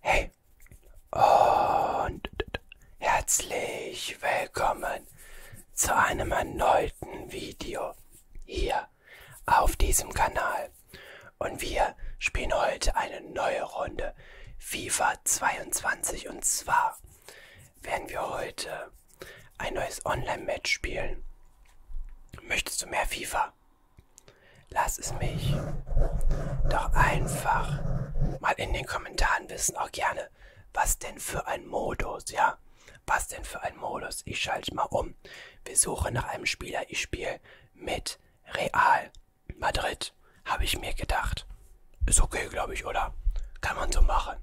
Hey und herzlich willkommen zu einem erneuten Video hier auf diesem Kanal. Und wir spielen heute eine neue Runde FIFA 22 und zwar werden wir heute ein neues Online-Match spielen. Möchtest du mehr FIFA? Lass es mich doch einfach mal in den Kommentaren wissen, auch gerne, was denn für ein Modus, ja? Was denn für ein Modus? Ich schalte mal um. Wir suchen nach einem Spieler. Ich spiele mit Real Madrid, habe ich mir gedacht. Ist okay, glaube ich, oder? Kann man so machen.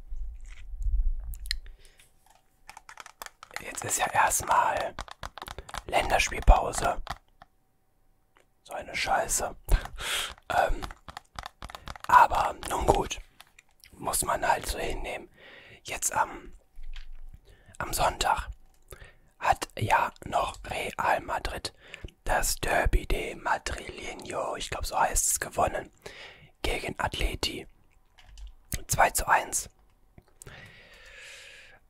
Jetzt ist ja erstmal Länderspielpause. So eine Scheiße. ähm, aber nun gut. Muss man halt so hinnehmen. Jetzt am, am Sonntag hat ja noch Real Madrid das Derby de Madrileño, ich glaube so heißt es, gewonnen gegen Atleti 2 zu 1.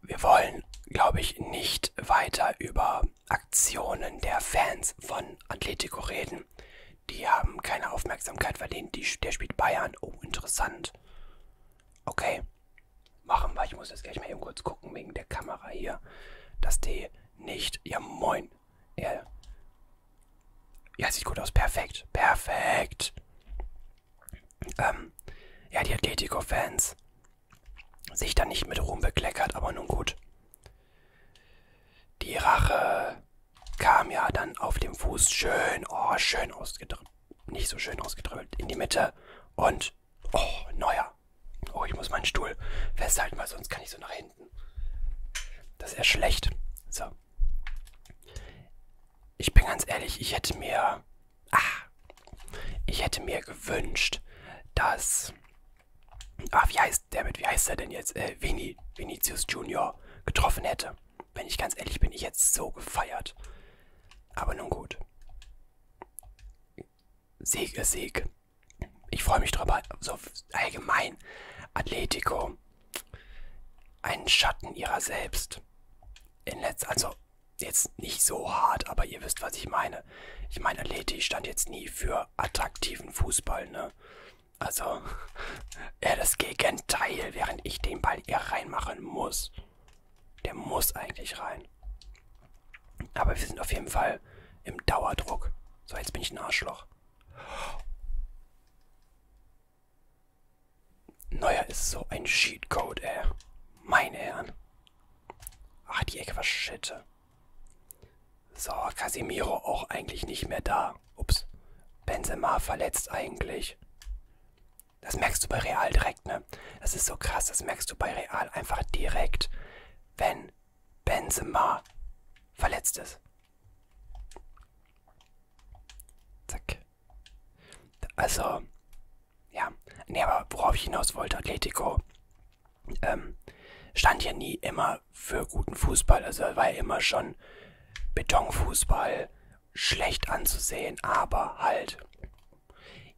Wir wollen, glaube ich, nicht weiter über Aktionen der Fans von Atletico reden. Die haben keine Aufmerksamkeit verdient. Die, der spielt Bayern. Oh, interessant. Okay. Machen wir. Ich muss jetzt gleich mal eben kurz gucken wegen der Kamera hier, dass die nicht. Ja, moin. Ja, ja sieht gut aus. Perfekt. Perfekt ähm, ja, die Atletico-Fans sich dann nicht mit Ruhm bekleckert, aber nun gut. Die Rache kam ja dann auf dem Fuß schön, oh, schön ausgedrückt, nicht so schön ausgedrückt, in die Mitte und, oh, neuer. Oh, ich muss meinen Stuhl festhalten, weil sonst kann ich so nach hinten. Das ist ja schlecht. So. Ich bin ganz ehrlich, ich hätte mir. Ah, ich hätte mir gewünscht, dass. Ah, wie heißt der mit, wie heißt er denn jetzt? Äh, Vini, Vinicius Junior getroffen hätte. Wenn ich ganz ehrlich bin, ich jetzt so gefeiert. Aber nun gut. Sieg ist Sieg. Ich freue mich drüber. So allgemein. Atletico einen Schatten ihrer selbst. In Letz also jetzt nicht so hart, aber ihr wisst, was ich meine. Ich meine, Leti stand jetzt nie für attraktiven Fußball, ne? Also, er das Gegenteil, während ich den Ball eher reinmachen muss. Der muss eigentlich rein. Aber wir sind auf jeden Fall im Dauerdruck. So, jetzt bin ich ein Arschloch. Neuer ist so ein Cheatcode, ey. Meine Herren. Ach, die Ecke war shit. So, Casemiro auch eigentlich nicht mehr da. Ups. Benzema verletzt eigentlich. Das merkst du bei Real direkt, ne? Das ist so krass, das merkst du bei Real einfach direkt, wenn Benzema verletzt ist. Zack. Also, ja. Nee, aber worauf ich hinaus wollte, Atletico ähm, stand ja nie immer für guten Fußball. Also war ja immer schon Betonfußball, schlecht anzusehen, aber halt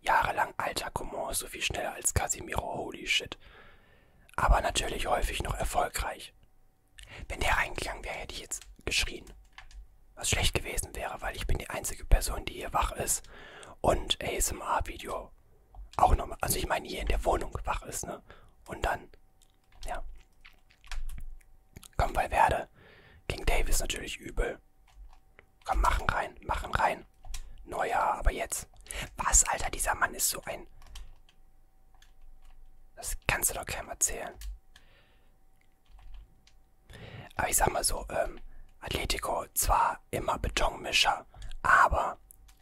jahrelang alter Coman so viel schneller als Casimiro, holy shit. Aber natürlich häufig noch erfolgreich. Wenn der reingegangen wäre, hätte ich jetzt geschrien. Was schlecht gewesen wäre, weil ich bin die einzige Person, die hier wach ist und ASMR-Video auch nochmal. Also ich meine hier in der Wohnung wach ist, ne? Und dann, ja. Komm, weil werde. King Davis natürlich übel. Komm, machen rein, machen rein. Neuer, aber jetzt. Was, Alter, dieser Mann ist so ein... Das kannst du doch keinem erzählen. Aber ich sag mal so, ähm, Atletico zwar immer Betonmischer, aber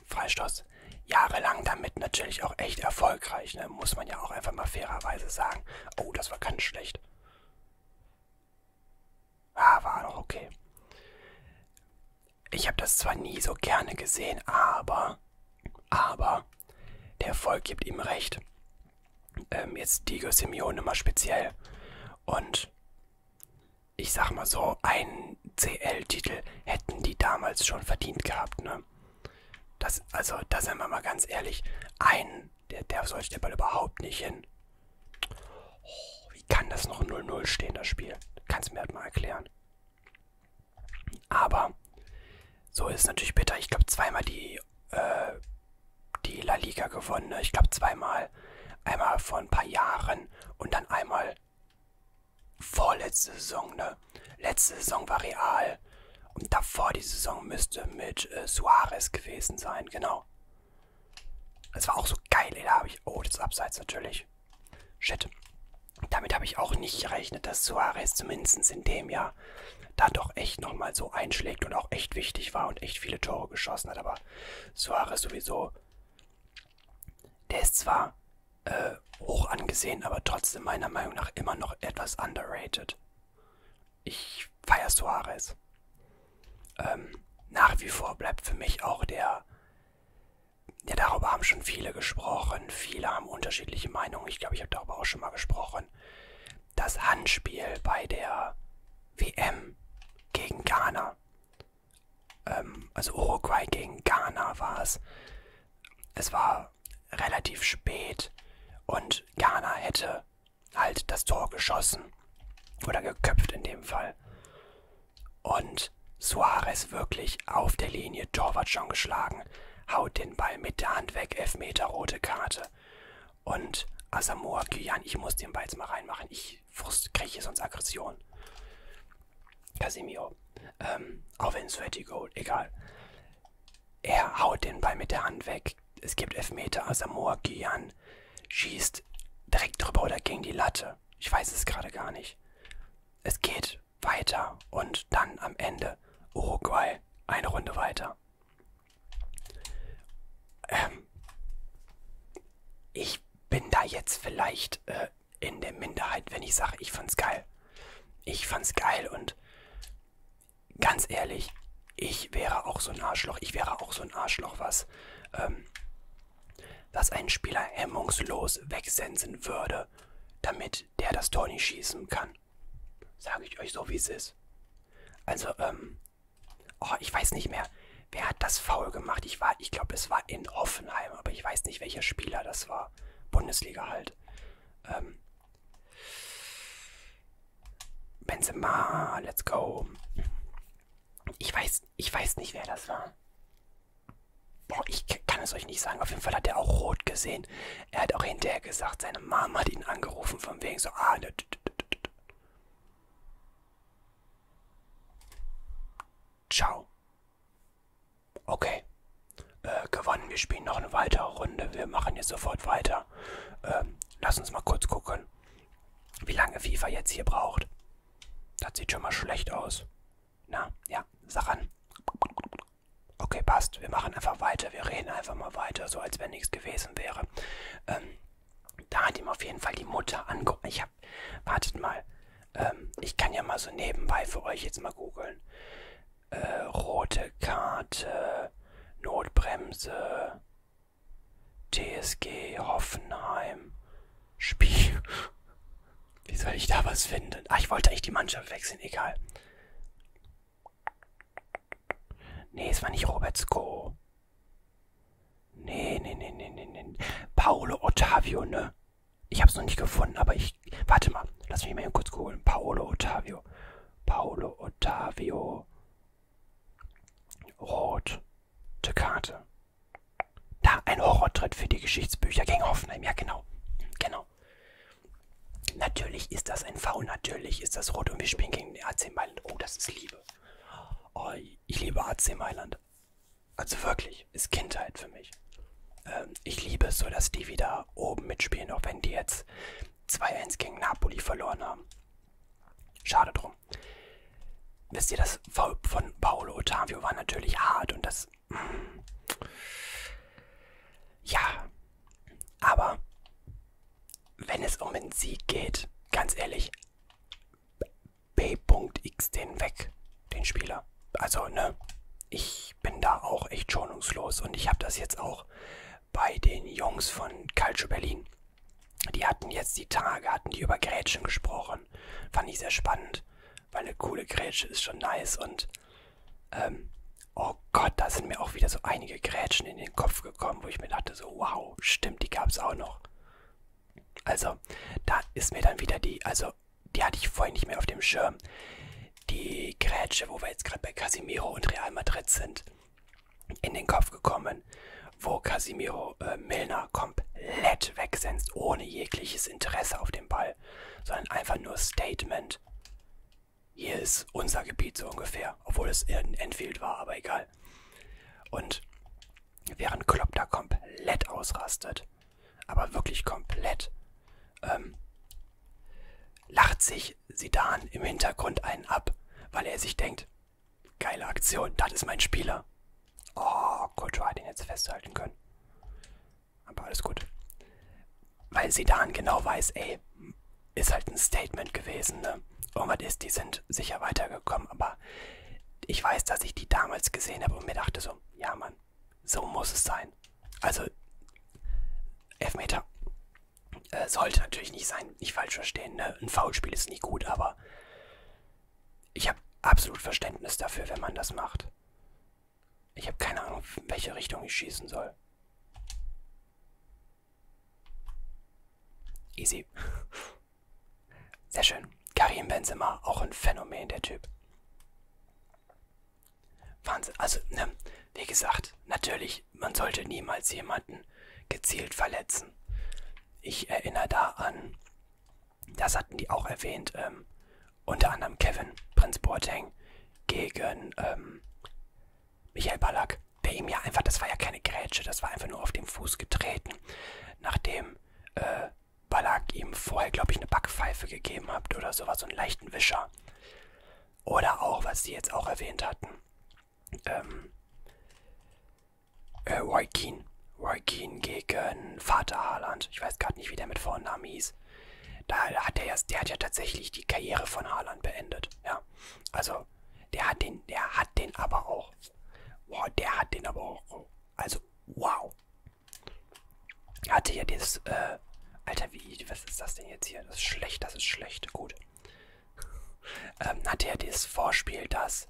Freistoß jahrelang damit natürlich auch echt erfolgreich, ne? muss man ja auch einfach mal fairerweise sagen. Oh, das war ganz schlecht. Ah, war doch okay. Ich habe das zwar nie so gerne gesehen, aber, aber der Erfolg gibt ihm recht. Ähm, jetzt Diego Simeone mal speziell. Und ich sag mal so, einen CL-Titel hätten die damals schon verdient gehabt, ne? Das, also, da sind wir mal ganz ehrlich, einen, der, der sollte der Ball überhaupt nicht hin. Oh, wie kann das noch 0-0 stehen, das Spiel? Kannst du mir halt mal erklären. Aber so ist es natürlich bitter. Ich glaube, zweimal die, äh, die La Liga gewonnen. Ne? Ich glaube, zweimal. Einmal vor ein paar Jahren und dann einmal vorletzte Saison. Ne? Letzte Saison war Real. Und davor die Saison müsste mit äh, Suarez gewesen sein, genau. Das war auch so geil, ey. Da habe ich. Oh, das ist Abseits natürlich. Shit damit habe ich auch nicht gerechnet, dass Suarez zumindest in dem Jahr da doch echt nochmal so einschlägt und auch echt wichtig war und echt viele Tore geschossen hat. Aber Suarez sowieso, der ist zwar äh, hoch angesehen, aber trotzdem meiner Meinung nach immer noch etwas underrated. Ich feiere Suarez. Ähm, nach wie vor bleibt für mich auch der, ja darüber haben schon viele gesprochen, gesprochen, viele haben unterschiedliche Meinungen, ich glaube, ich habe darüber auch schon mal gesprochen. Das Handspiel bei der WM gegen Ghana, ähm, also Uruguay gegen Ghana war es. Es war relativ spät und Ghana hätte halt das Tor geschossen oder geköpft in dem Fall. Und Suarez wirklich auf der Linie Torwart schon geschlagen haut den Ball mit der Hand weg, Elfmeter, rote Karte. Und Asamoah Gyan, ich muss den Ball jetzt mal reinmachen, ich kriege hier sonst Aggression. Casemiro, ähm, auch wenn Sweaty Gold, egal. Er haut den Ball mit der Hand weg, es gibt Elfmeter, Asamoah Gyan schießt direkt drüber oder gegen die Latte. Ich weiß es gerade gar nicht. Es geht und weiter und dann am Ende Uruguay eine Runde weiter. Ähm, ich bin da jetzt vielleicht äh, in der Minderheit, wenn ich sage, ich fand's geil. Ich fand's geil und ganz ehrlich, ich wäre auch so ein Arschloch. Ich wäre auch so ein Arschloch, was, ähm, was einen Spieler hemmungslos wegsensen würde, damit der das Tor nicht schießen kann. Sage ich euch so, wie es ist. Also, ähm, oh, ich weiß nicht mehr, wer hat das Foul gemacht. Ich war, ich glaube, es war in Hoffenheim, aber ich weiß nicht, welcher Spieler das war. Bundesliga halt. Ähm, Benzema, let's go. Ich weiß, ich weiß nicht, wer das war. Boah, ich kann es euch nicht sagen. Auf jeden Fall hat er auch rot gesehen. Er hat auch hinterher gesagt, seine Mama hat ihn angerufen, von wegen so, ah, ne, Ciao. Okay. Äh, gewonnen, wir spielen noch eine weitere Runde. Wir machen jetzt sofort weiter. Ähm, lass uns mal kurz gucken, wie lange FIFA jetzt hier braucht. Das sieht schon mal schlecht aus. Na, ja, sag an okay, passt, wir machen einfach weiter, wir reden einfach mal weiter, so als wenn nichts gewesen wäre. Ähm, da hat ihm auf jeden Fall die Mutter angerufen. Ich habe, wartet mal, ähm, ich kann ja mal so nebenbei für euch jetzt mal googeln. Äh, rote Karte, Notbremse, TSG Hoffenheim, Spiel. Wie soll ich da was finden? Ach, ich wollte eigentlich die Mannschaft wechseln, egal. Nee, es war nicht Robertsko. Nee, nee, nee, nee, nee, nee. Paolo Ottavio, ne? Ich hab's noch nicht gefunden, aber ich. Warte mal, lass mich mal hier kurz googeln. Paolo Ottavio. Paolo Ottavio. Rote Karte. Da, ein Horrortritt für die Geschichtsbücher gegen Hoffenheim. Ja, genau. Genau. Natürlich ist das ein V, natürlich ist das rot und wir spielen gegen den AC Mailand. Oh, das ist Liebe. Oh, ich liebe AC Mailand. Also wirklich, ist Kindheit für mich. Ähm, ich liebe es so, dass die wieder oben mitspielen, auch wenn die jetzt 2-1 gegen Napoli verloren haben. Schade drum. Wisst ihr, das V von Paolo Ottavio war natürlich hart und das ist. Ja, aber wenn es um den Sieg geht, ganz ehrlich, B.X den weg, den Spieler. Also, ne, ich bin da auch echt schonungslos und ich habe das jetzt auch bei den Jungs von Calcio Berlin. Die hatten jetzt die Tage, hatten die über Grätschen gesprochen. Fand ich sehr spannend. Geld. Weil eine coole Grätsche ist schon nice und ähm, oh Gott, da sind mir auch wieder so einige Grätschen in den Kopf gekommen, wo ich mir dachte, so wow, stimmt, die gab es auch noch. Also, da ist mir dann wieder die, also die hatte ich vorhin nicht mehr auf dem Schirm. Die Grätsche, wo wir jetzt gerade bei Casimiro und Real Madrid sind, in den Kopf gekommen, wo Casimiro äh, Milner komplett wegsenzt, ohne jegliches Interesse auf den Ball, sondern einfach nur Statement. Hier ist unser Gebiet so ungefähr, obwohl es in Enfield war, aber egal. Und während Klopp da komplett ausrastet, aber wirklich komplett, ähm, lacht sich Sidan im Hintergrund einen ab, weil er sich denkt, geile Aktion, das ist mein Spieler. Oh, Kultur hat ihn jetzt festhalten können. Aber alles gut. Weil sie dann genau weiß, ey, ist halt ein Statement gewesen, ne? Irgendwas ist, die sind sicher weitergekommen, aber ich weiß, dass ich die damals gesehen habe und mir dachte so, ja Mann, so muss es sein. Also, Elfmeter äh, sollte natürlich nicht sein, nicht falsch verstehen, ne? Ein Foulspiel ist nie gut, aber ich habe absolut Verständnis dafür, wenn man das macht. Ich habe keine Ahnung, in welche Richtung ich schießen soll. Easy. Sehr schön. Karim Benzema, auch ein Phänomen, der Typ. Wahnsinn. Also, ne, wie gesagt, natürlich, man sollte niemals jemanden gezielt verletzen. Ich erinnere da an das hatten die auch erwähnt. Ähm, unter anderem Kevin, Prinz Boateng, gegen ähm, Michael Ballack, der ihm ja einfach, das war ja keine Grätsche, das war einfach nur auf den Fuß getreten, nachdem äh, Ballack ihm vorher, glaube ich, eine Backpfeife gegeben hat oder sowas, so einen leichten Wischer. Oder auch, was sie jetzt auch erwähnt hatten, ähm, äh, Roy Keane. Roy Keane gegen Vater Haaland. Ich weiß gerade nicht, wie der mit Vornamen hieß. Da hat er ja, der hat ja tatsächlich die Karriere von Haaland beendet. Ja. Also, der hat den, der hat den aber auch. Wow, der hat den aber auch. Also, wow. Hatte ja das, äh, Alter, wie, was ist das denn jetzt hier? Das ist schlecht, das ist schlecht. Gut. Ähm, hatte ja das Vorspiel, das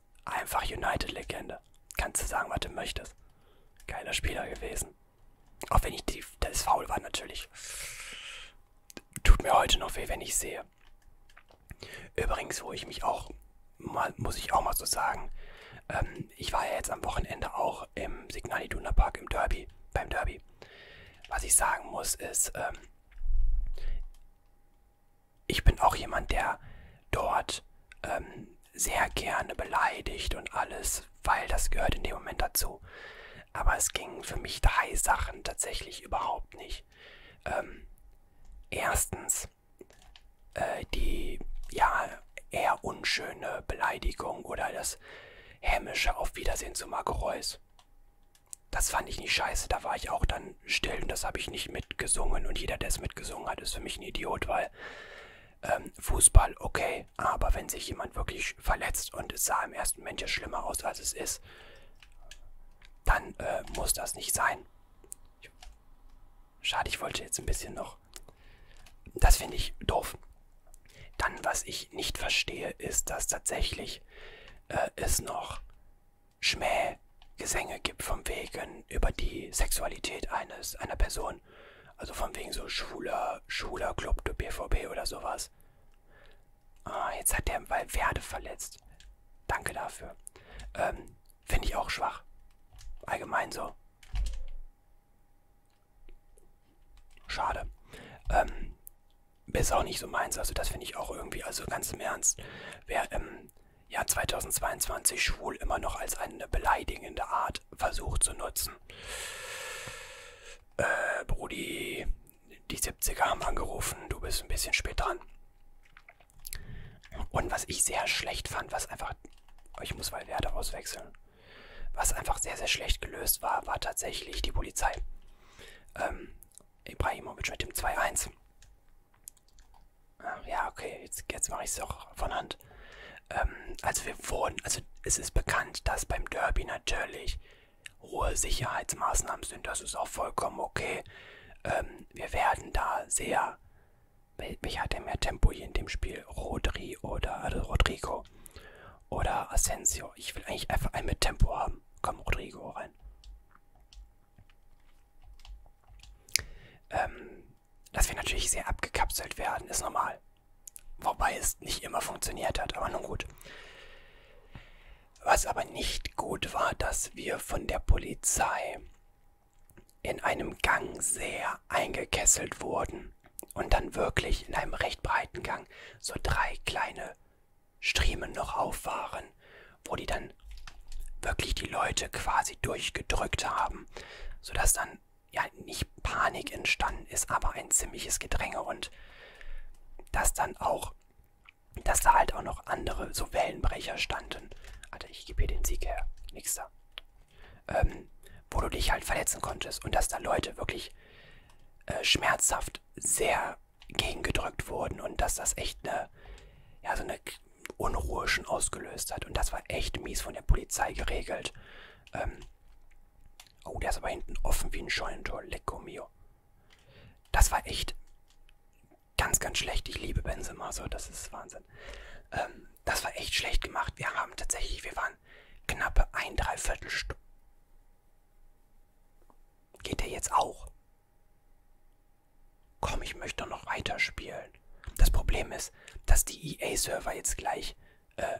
Einfach United-Legende. Kannst du sagen, was du möchtest. Geiler Spieler gewesen. Auch wenn ich die, das Foul war natürlich. Tut mir heute noch weh, wenn ich sehe. Übrigens, wo ich mich auch mal, muss ich auch mal so sagen, ähm, ich war ja jetzt am Wochenende auch im Signal Iduna Park im Derby, beim Derby. Was ich sagen muss ist, ähm, ich bin auch jemand, der dort ähm, sehr gerne beleidigt und alles, weil das gehört in dem Moment dazu. Aber es ging für mich drei Sachen tatsächlich überhaupt nicht. Ähm, erstens äh, die ja eher unschöne Beleidigung oder das hämische Auf Wiedersehen zu Marco Reus. Das fand ich nicht scheiße, da war ich auch dann waren still und das habe ich nicht mitgesungen. Und jeder, der es mitgesungen hat, ist für mich ein Idiot, weil ähm, Fußball okay, aber wenn sich jemand wirklich verletzt und es sah im ersten Moment ja schlimmer aus, als es ist, dann äh, muss das nicht sein. Schade, ich wollte jetzt ein bisschen noch. Das finde ich doof. Dann, was ich nicht verstehe, ist, dass tatsächlich äh, es noch Schmähgesänge gibt von wegen über die Sexualität eines einer Person. Also von wegen so schwuler, schwuler Club du BVB oder sowas. Ah, jetzt hat der Valverde verletzt. Danke dafür. Ähm, finde ich auch schwach. Allgemein so. Schade. Ähm, ist auch nicht so meins. Also das finde ich auch irgendwie, also ganz im Ernst. Wer, ähm, Jahr 2022 schwul immer noch als eine beleidigende Art versucht zu nutzen. Äh, Brudi, die 70er haben angerufen, du bist ein bisschen spät dran. Und was ich sehr schlecht fand, was einfach, ich muss mal Werte auswechseln, was einfach sehr, sehr schlecht gelöst war, war tatsächlich die Polizei. Ähm, Ibrahimovic mit dem 2-1. Ähm, ja, okay, jetzt, jetzt mache ich es auch von Hand. Ähm, also wir wurden, also es ist bekannt, dass beim Derby natürlich hohe Sicherheitsmaßnahmen sind. Das ist auch vollkommen okay. Ähm, wir werden da sehr. Welcher hat denn mehr Tempo hier in dem Spiel? Rodri oder also Rodrigo oder Asensio? Ich will eigentlich einfach einen mit Tempo haben. Komm, Rodrigo rein. Ähm, dass wir natürlich sehr abgekapselt werden, ist normal. Wobei es nicht immer funktioniert hat, aber nun gut. Was aber nicht gut war, dass wir von der Polizei in einem Gang sehr eingekesselt wurden und dann wirklich in einem recht breiten Gang so drei kleine Striemen noch auf waren, wo die dann wirklich die Leute quasi durchgedrückt haben, sodass dann ja nicht Panik entstanden ist, aber ein ziemliches Gedränge und dass dann auch, dass da halt auch noch andere so Wellenbrecher standen. Alter, ich gebe hier den Sieg her, nix da. Ähm, wo du dich halt verletzen konntest und dass da Leute wirklich äh, schmerzhaft sehr gegengedrückt wurden und dass das echt eine, ja, so eine Unruhe schon ausgelöst hat. Und das war echt mies von der Polizei geregelt. Ähm, oh, der ist aber hinten offen wie ein Scheunentor. Lecco mio. Das war echt ganz, ganz schlecht. Ich liebe Benzema so, das ist Wahnsinn. Ähm, das war echt schlecht gemacht. Wir haben tatsächlich, wir waren knappe ein Dreiviertelstunden. Geht der jetzt auch? Komm, ich möchte doch noch weiterspielen. Das Problem ist, dass die EA-Server jetzt gleich äh,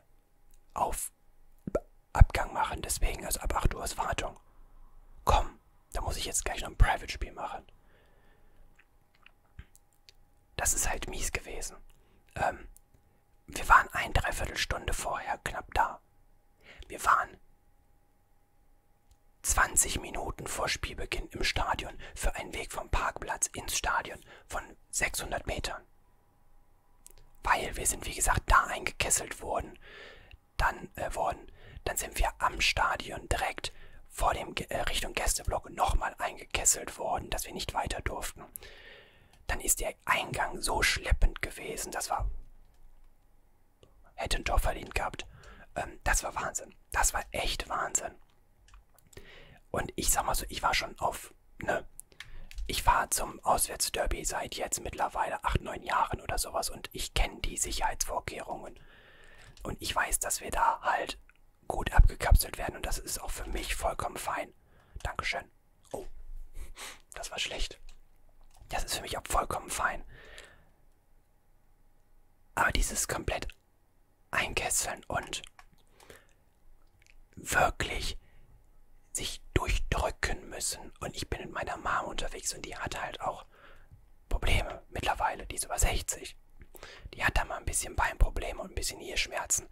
auf Abgang machen. Deswegen, also ab 8 Uhr ist Wartung. Komm, da muss ich jetzt gleich noch ein Private-Spiel machen. Das ist halt mies gewesen. Ähm, wir waren ein Dreiviertelstunde vorher knapp da. Wir waren 20 Minuten vor Spielbeginn im Stadion für einen Weg vom Parkplatz ins Stadion von 600 Metern. Weil wir sind, wie gesagt, da eingekesselt worden, dann, äh, worden, dann sind wir am Stadion direkt vor dem äh, Richtung Gästeblock nochmal eingekesselt worden, dass wir nicht weiter durften. Dann ist der Eingang so schleppend gewesen, das war Hätte ein Tor verdient gehabt. Ähm, das war Wahnsinn. Das war echt Wahnsinn. Und ich sag mal so, ich war schon auf, ne? Ich war zum Auswärtsderby seit jetzt mittlerweile 8, 9 Jahren oder sowas und ich kenne die Sicherheitsvorkehrungen. Und ich weiß, dass wir da halt gut abgekapselt werden und das ist auch für mich vollkommen fein. Dankeschön. Oh, das war schlecht. Das ist für mich auch vollkommen fein. Aber dieses komplett einkesseln und wirklich sich durchdrücken müssen. Und ich bin mit meiner Mom unterwegs und die hatte halt auch Probleme mittlerweile. Die ist über 60. Die hat da mal ein bisschen Beinprobleme und ein bisschen Hirschmerzen.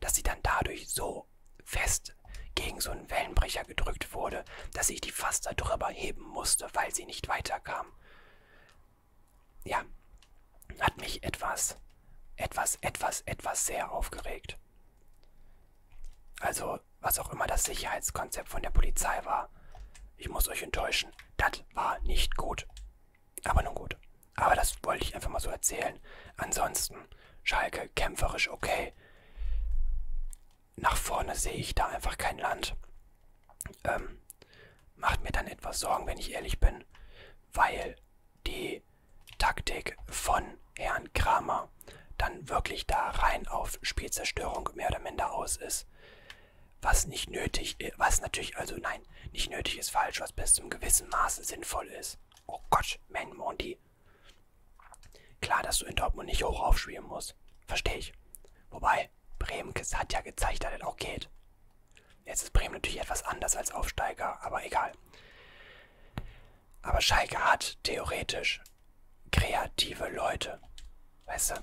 Dass sie dann dadurch so fest gegen so einen Wellenbrecher gedrückt wurde, dass ich die fast darüber heben musste, weil sie nicht weiterkam. Ja, hat mich etwas, etwas, etwas, etwas sehr aufgeregt. Also, was auch immer das Sicherheitskonzept von der Polizei war, ich muss euch enttäuschen, das war nicht gut. Aber nun gut. Aber das wollte ich einfach mal so erzählen. Ansonsten, Schalke kämpferisch okay nach vorne sehe ich da einfach kein Land. Ähm, macht mir dann etwas Sorgen, wenn ich ehrlich bin, weil die Taktik von Herrn Kramer dann wirklich da rein auf Spielzerstörung mehr oder minder aus ist. Was nicht nötig ist, äh, was natürlich, also nein, nicht nötig ist falsch, was bis zum gewissen Maße sinnvoll ist. Oh Gott, mein Mondi, Klar, dass du in Dortmund nicht hoch aufschweben musst. Verstehe ich. Wobei, Bremen hat ja gezeigt, dass das auch geht. Jetzt ist Bremen natürlich etwas anders als Aufsteiger, aber egal. Aber Schalke hat theoretisch kreative Leute. Weißt du?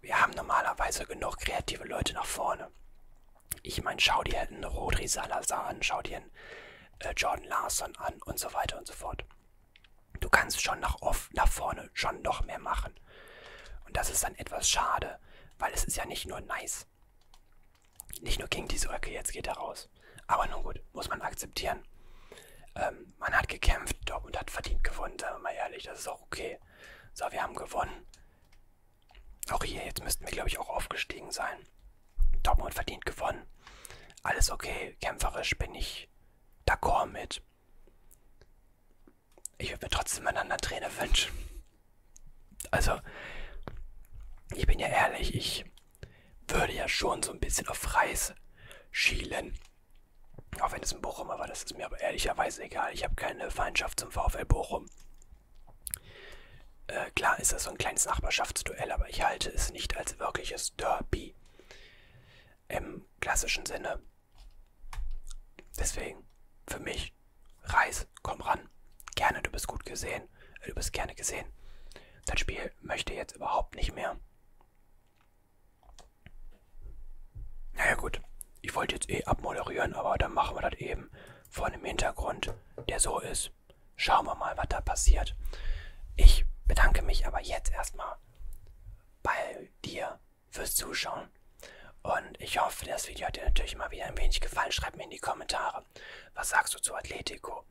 Wir haben normalerweise genug kreative Leute nach vorne. Ich meine, schau dir einen Rodri Salazar an, schau dir einen äh, Jordan Larson an und so weiter und so fort. Du kannst schon nach, off, nach vorne schon noch mehr machen. Und das ist dann etwas schade, weil es ist ja nicht nur nice. Nicht nur King diese okay, jetzt geht er raus. Aber nun gut, muss man akzeptieren. Ähm, man hat gekämpft, Dortmund hat verdient gewonnen, sagen wir mal ehrlich, das ist auch okay. So, wir haben gewonnen. Auch hier, jetzt müssten wir, glaube ich, auch aufgestiegen sein. Dortmund verdient gewonnen. Alles okay, kämpferisch bin ich d'accord mit. Ich würde mir trotzdem einen anderen Trainer wünschen. Also, ich bin ja ehrlich, ich würde ja schon so ein bisschen auf Reis schielen. Auch wenn es ein Bochumer war, das ist mir aber ehrlicherweise egal. Ich habe keine Feindschaft zum VfL Bochum. Äh, klar ist das so ein kleines Nachbarschaftsduell, aber ich halte es nicht als wirkliches Derby im klassischen Sinne. Deswegen, für mich, Reis, komm ran. Gerne, du bist gut gesehen. Äh, du bist gerne gesehen. Das Spiel möchte jetzt überhaupt nicht mehr. Naja gut, ich wollte jetzt eh abmoderieren, aber dann machen wir das eben vor einem Hintergrund, der so ist und schauen wir mal, was da passiert. Ich bedanke mich aber jetzt erstmal bei dir fürs Zuschauen. Und ich hoffe, das Video hat dir natürlich mal wieder ein wenig gefallen. Schreib mir in die Kommentare, was sagst du zu Atletico?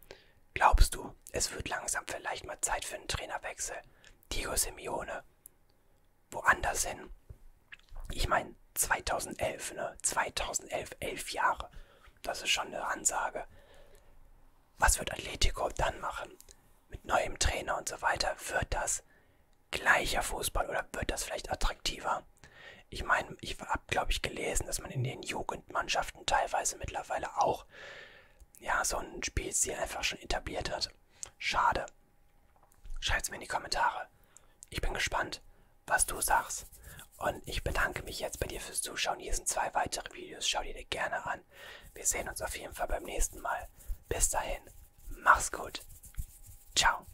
Glaubst du, es wird langsam vielleicht mal Zeit für einen Trainerwechsel? Diego Simeone, woanders hin? Ich meine, 2011, ne? 2011, elf Jahre. Das ist schon eine Ansage. Was wird Atletico dann machen? Mit neuem Trainer und so weiter. Wird das gleicher Fußball oder wird das vielleicht attraktiver? Ich meine, ich habe, glaube ich, gelesen, dass man in den Jugendmannschaften teilweise mittlerweile auch ja, so ein Spielstil einfach schon etabliert hat. Schade. Schreibt's mir in die Kommentare. Ich bin gespannt was du sagst. Und ich bedanke mich jetzt bei dir fürs Zuschauen. Hier sind zwei weitere Videos. Schau die dir gerne an. Wir sehen uns auf jeden Fall beim nächsten Mal. Bis dahin, mach's gut. Ciao.